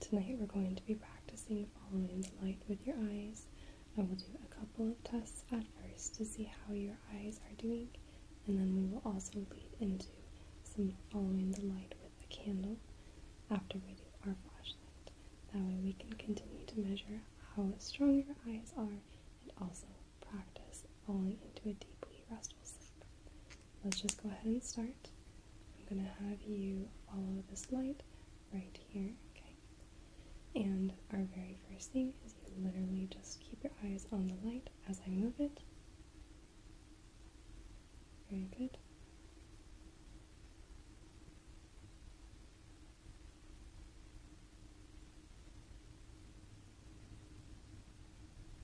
Tonight we're going to be practicing following the light with your eyes. I will do a couple of tests at first to see how your eyes are doing, and then we will also lead into some following the light with a candle after we do our flashlight. That way we can continue to measure how strong your eyes are and also practice falling into a deeply restful sleep let's just go ahead and start. I'm going to have you follow this light right here, okay? And our very first thing is you literally just keep your eyes on the light as I move it. Very good.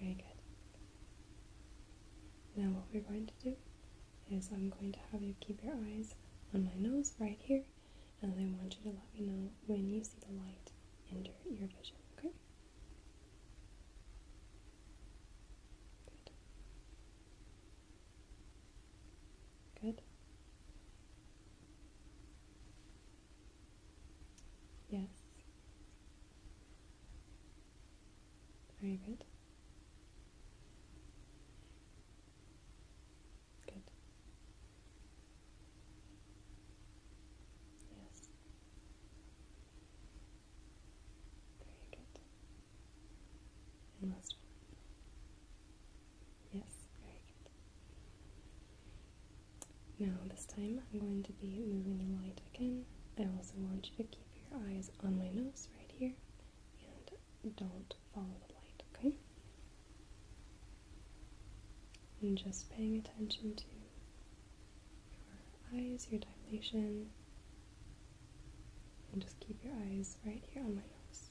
Very good. Now what we're going to do is I'm going to have you keep your eyes on my nose right here and I want you to let me know when you see the light enter your vision, okay? Good. Good. Yes. Very good. Good. Yes. Very good. And Yes, very good. Now this time I'm going to be moving the light again. I also want you to keep your eyes on my nose right here and don't follow the light, okay? And just paying attention to your eyes, your dilation, and just keep your eyes right here on my nose.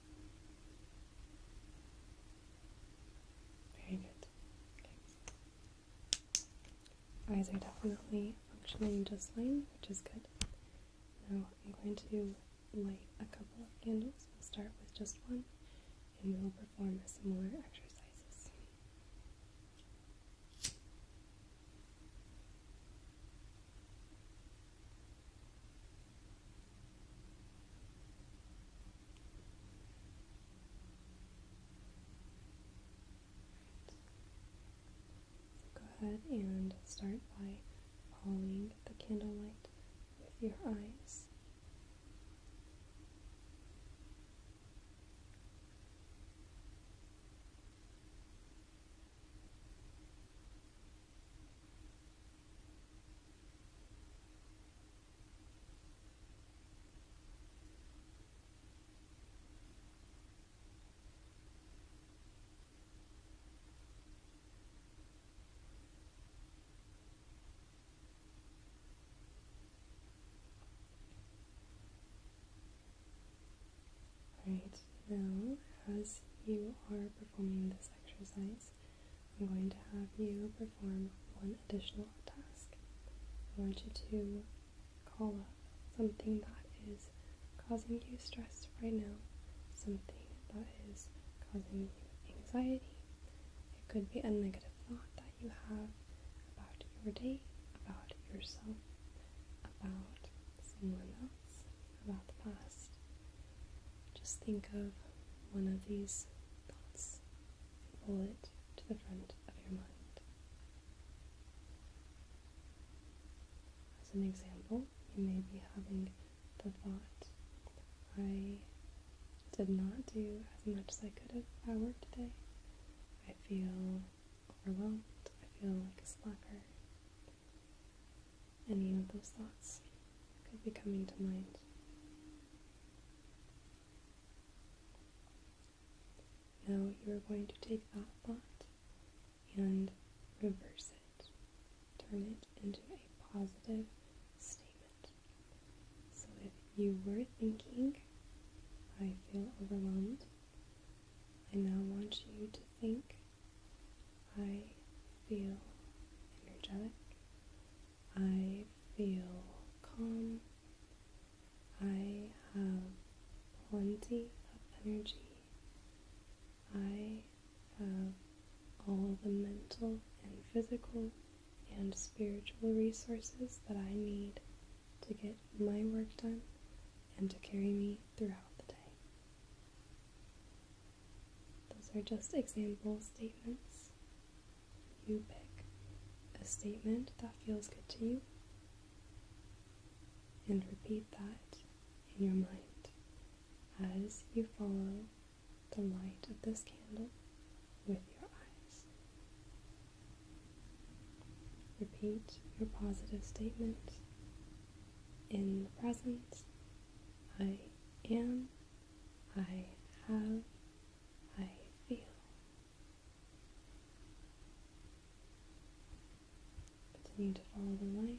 Very good. Eyes are definitely functioning just fine, which is good. Now I'm going to light a couple of candles. We'll start with just one and we'll perform similar exercises. Go ahead and start by following the candlelight with your eyes. Right now, as you are performing this exercise, I'm going to have you perform one additional task. I want you to call up something that is causing you stress right now, something that is causing you anxiety. It could be a negative thought that you have about your day, about yourself, about someone else, about the past. Just think of one of these thoughts and pull it to the front of your mind. As an example, you may be having the thought, I did not do as much as I could have at work today. I feel overwhelmed. I feel like a slacker any of those thoughts could be coming to mind. Now you are going to take that thought and reverse it, turn it into a positive statement. So if you were thinking, I feel overwhelmed, I now want you to think, I feel energetic. I feel calm. I have plenty of energy. I have all the mental and physical and spiritual resources that I need to get my work done and to carry me throughout the day. Those are just example statements. You pick a statement that feels good to you and repeat that in your mind as you follow the light of this candle with your eyes. Repeat your positive statement in the present. I am I have, I feel. Continue to follow the light.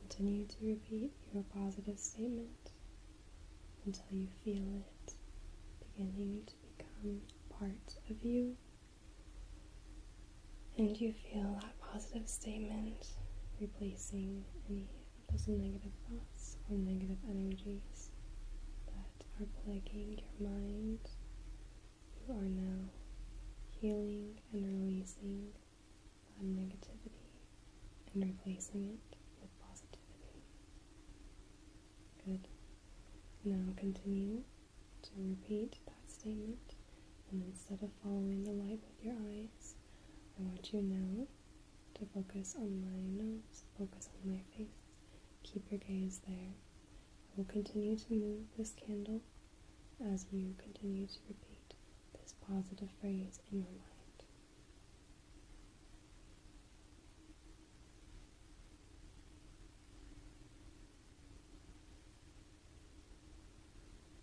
Continue to repeat your positive statement until you feel it beginning to become part of you and you feel that positive statement replacing any of those negative thoughts or negative energies that are plaguing your mind. You are now healing and releasing that negativity and replacing it with positivity. Good. Now continue to repeat that statement and instead of following the light with your eyes, I want you now to focus on my nose, focus on my face. Keep your gaze there. I will continue to move this candle as you continue to repeat this positive phrase in your mind.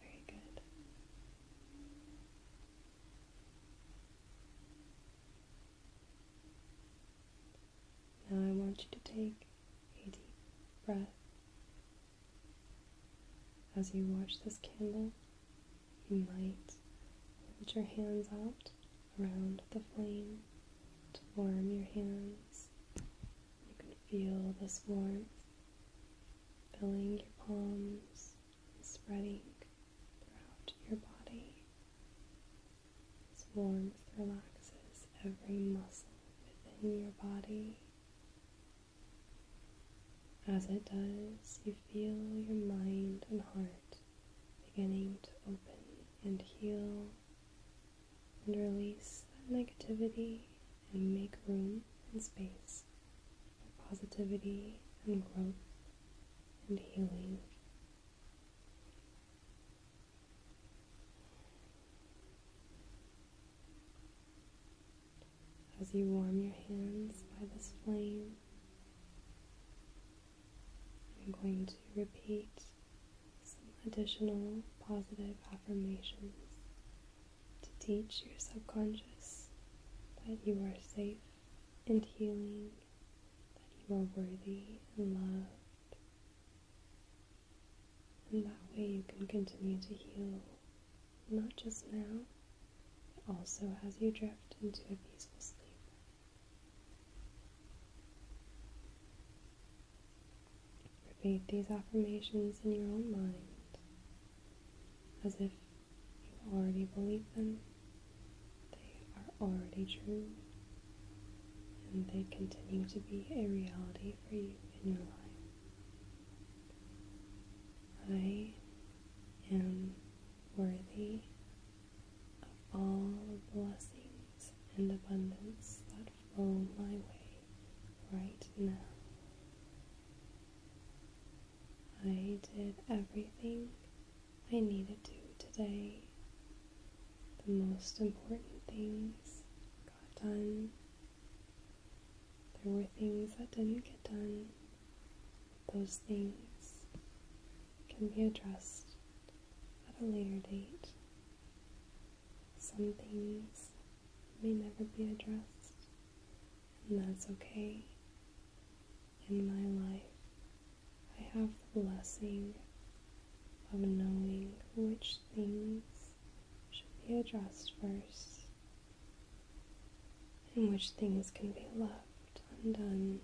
Very good. Now I want you to take a deep breath. As you watch this candle, you might hold your hands out around the flame to warm your hands. You can feel this warmth filling your palms and spreading throughout your body as warmth relaxes every muscle within your body. As it does, you feel your mind and heart beginning to open and heal and release that negativity and make room and space positivity and growth and healing. As you warm your hands by this flame, I'm going to repeat some additional positive affirmations to teach your subconscious that you are safe and healing, that you are worthy and loved. And that way you can continue to heal, not just now, but also as you drift into a peaceful sleep. Repeat these affirmations in your own mind as if you already believe them, they are already true, and they continue to be a reality for you in your life. I am worthy of all blessings and abundance that flow my way right now. I did everything I needed to today. The most important things got done. There were things that didn't get done. Those things can be addressed at a later date. Some things may never be addressed and that's okay. In my life, I have the blessing of knowing which things should be addressed first and which things can be left undone.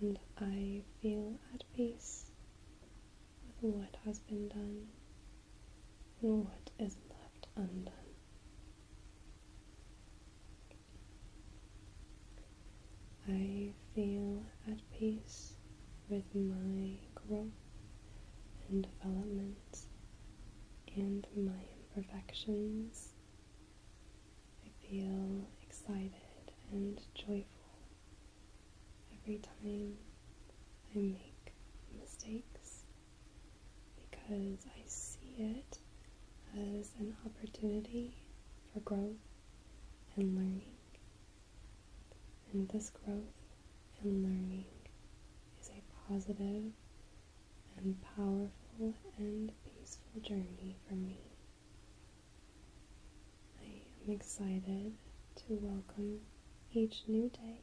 And I feel at peace with what has been done what is left undone. I feel at peace with my growth and developments and my imperfections. I feel excited and joyful every time I make mistakes because I see it as an opportunity for growth and learning. And this growth and learning is a positive and powerful and peaceful journey for me. I am excited to welcome each new day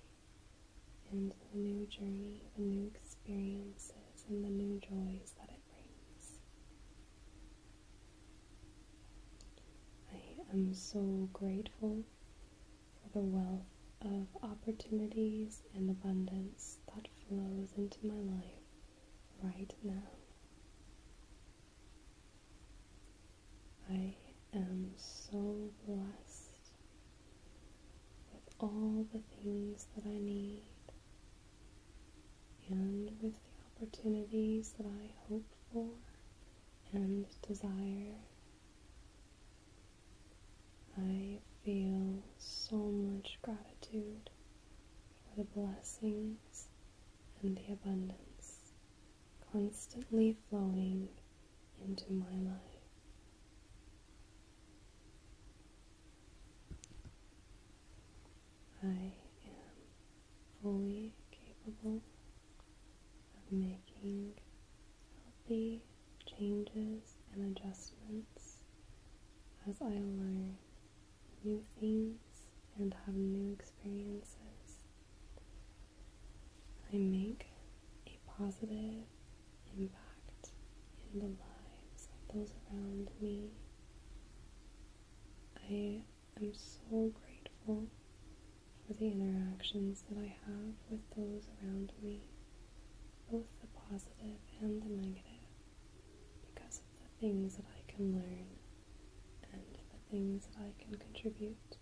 and the new journey, the new experiences, and the new joys that it brings. I am so grateful for the wealth of opportunities and abundance that flows into my life right now. I am so blessed with all the things that I need and with the opportunities that I hope for and desire. I feel so much gratitude for the blessings and the abundance constantly flowing into my life. I am fully capable of making healthy changes and adjustments as I learn new things and have new experiences. I make a positive impact in the lives of those around me. I am so grateful for the interactions that I have with those around me, both the positive and the negative, because of the things that I can learn and the things that I can contribute.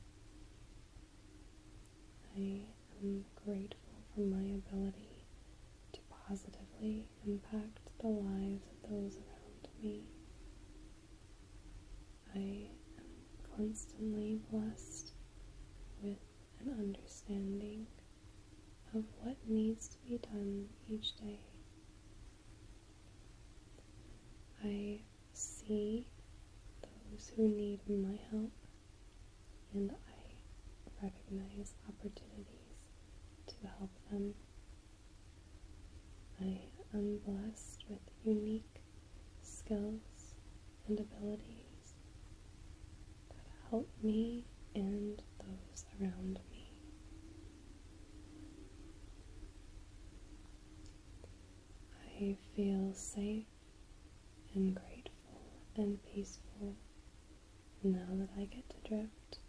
I am grateful for my ability to positively impact the lives of those around me. I am constantly blessed with an understanding of what needs to be done each day. I see those who need my help and I recognize opportunities to help them. I am blessed with unique skills and abilities that help me and those around me. I feel safe and grateful and peaceful now that I get to drift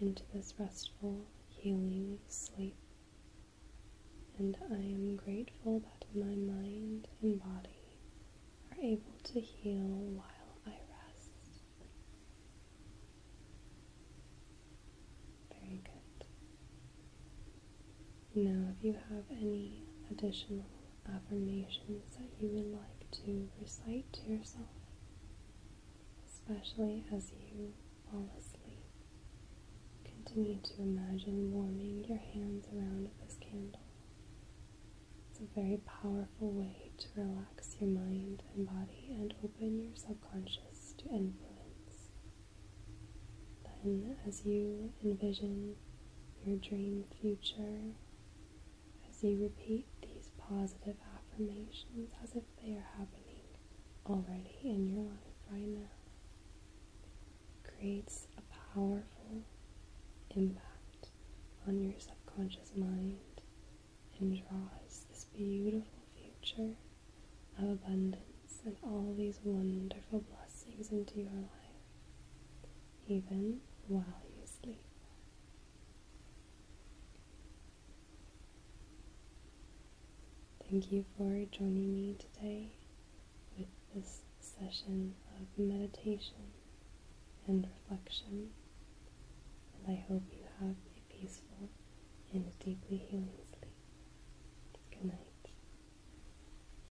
into this restful, healing sleep. And I am grateful that my mind and body are able to heal while I rest. Very good. Now, if you have any additional affirmations that you would like to recite to yourself, especially as you fall asleep, continue to imagine warming your hands around this candle. It's a very powerful way to relax your mind and body and open your subconscious to influence. Then, as you envision your dream future as you repeat these positive affirmations as if they are happening already in your life right now. creates a powerful impact on your subconscious mind and draws this beautiful future of abundance and all these wonderful blessings into your life even while you sleep. Thank you for joining me today with this session of meditation and reflection, and I hope you have a peaceful and a deeply healing sleep. Good night.